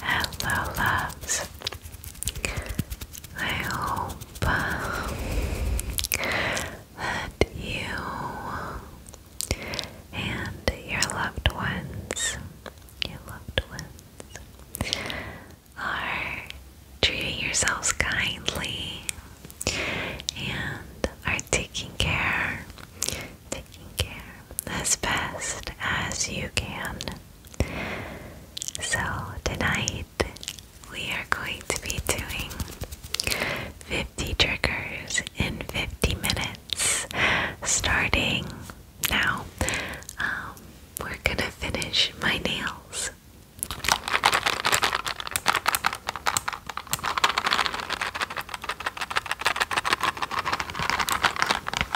Hello, loves. I hope uh, that you and your loved ones, your loved ones, are treating yourselves kindly and are taking care, taking care as best as you can. So, tonight we are going to be doing 50 triggers in 50 minutes starting now. Um, we're gonna finish my nails.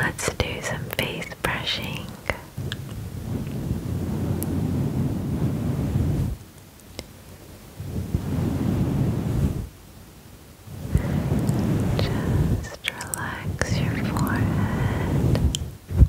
Let's do some face brushing. Just relax your forehead.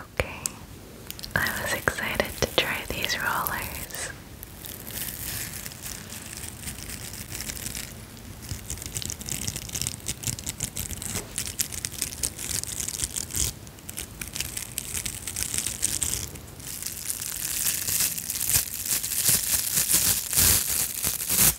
Okay, I was excited to try these rollers.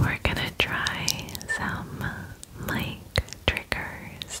We're gonna try some mic triggers.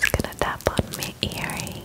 Just gonna tap on my earrings.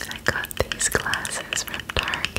I got these glasses from Target.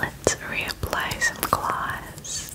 Let's reapply some gloss.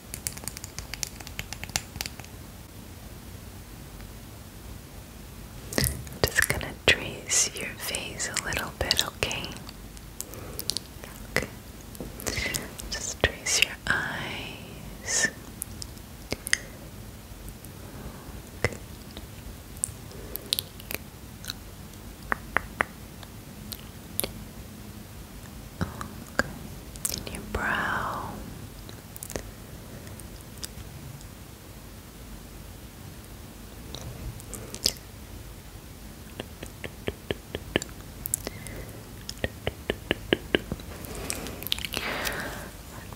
just gonna trace your face a little bit, okay? Okay. Just trace your eyes. Okay. In your brow.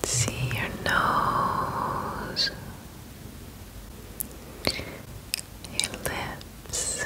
Let's see your nose, your lips,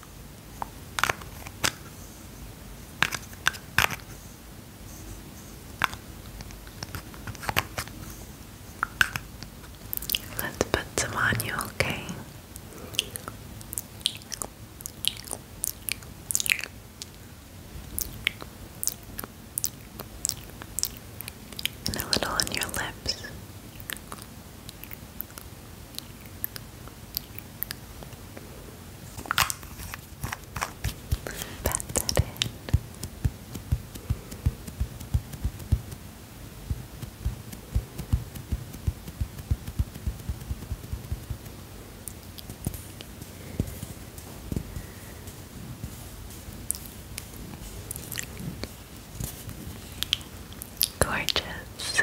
Let's put some on you, okay? And a little on your lips. Pat that Gorgeous.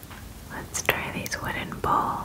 Let's try these wooden balls.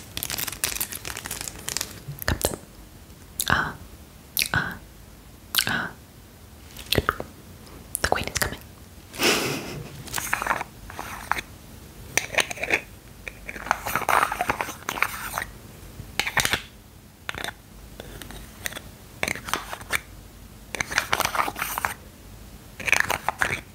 Kapten. Ah. Ah. Ah. The queen is coming.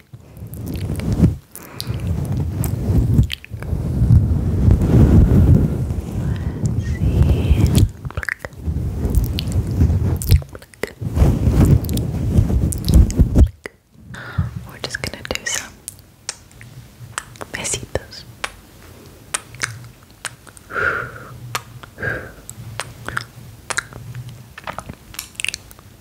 We're just gonna do some besitos.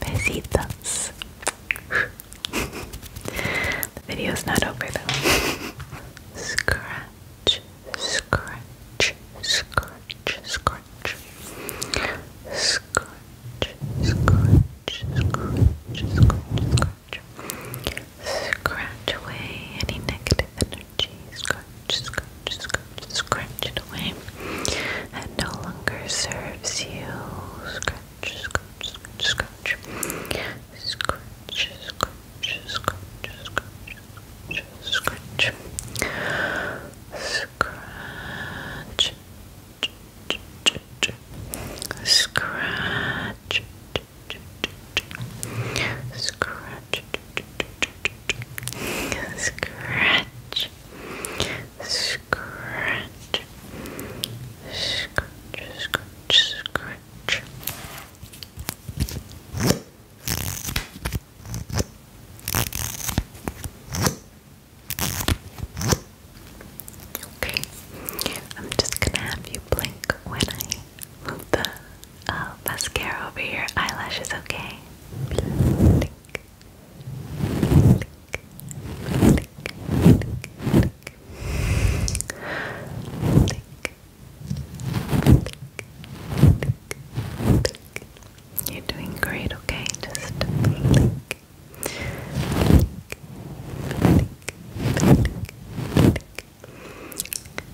Besitos. the video's not over though. scratch, scratch. Scratch, scratch, scratch, scratch, scratch scratch. away any negative energy. Scratch, scratch, scratch, scratch it away. That no longer serves you. Scratch, scratch, scratch, scratch. Scratch, scratch, scratch, scratch, scratch. Scratch. Scratch. Scratch. Scratch. Scratch. Scratch. Scratch Scratch. Scratch. Scratch. Scratch. Scratch. Scratch. Okay. I'm just gonna have you blink when I move the uh, mascara over here. eyelashes, okay? You're doing great, okay? Just Blink. Blink. Blink.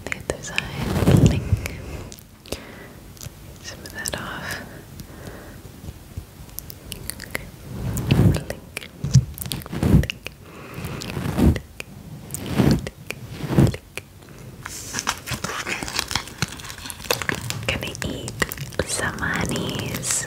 The other side, blink. that off. Gonna eat some honeys.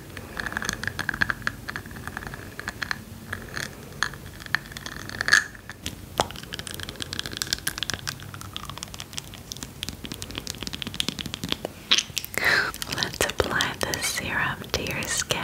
Let's apply the serum to your skin.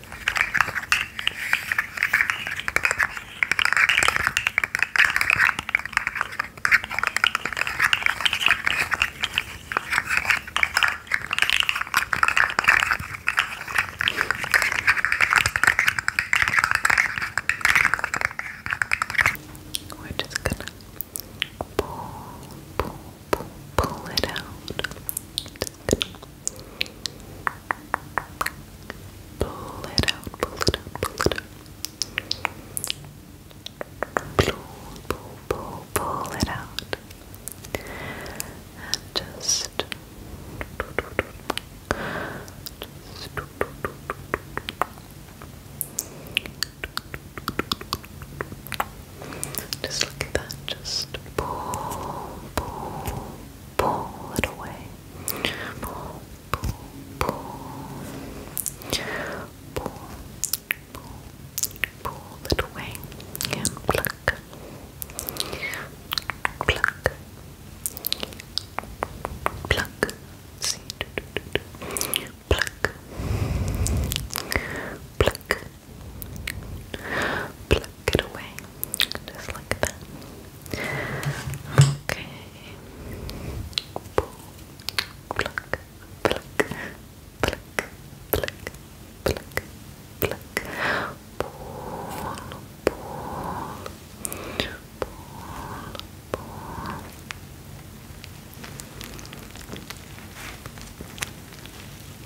We're just gonna pull, pull, pull, pull it out. Just gonna Pull it out, pull it out, pull it out. Pull, pull, pull, pull it out. And just. just just look at that, just pull, pull, pull it away. Pull, pull, pull. Pull, pull, it away. And pluck. Pluck. Pluck. Pluck. Pluck. Pluck get away. Just like that. Okay. Boom. Pluck, pluck, pluck, pluck, Pull, pull, pull, pull.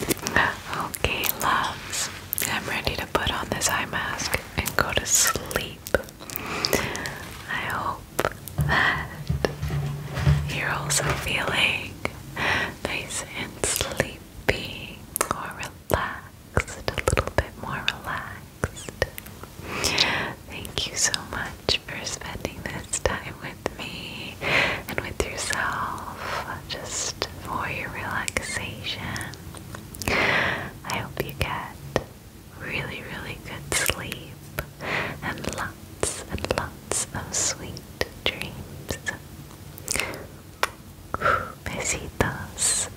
Okay, loves, I'm ready to put on this eye mask and go to sleep. I hope that you're also feeling nice and sleepy or relaxed, a little bit more relaxed. Thank you so much for spending this time with me and with yourself, just for your relaxation I hope you get really, really good sleep and lots and lots of sweet dreams. Besitos.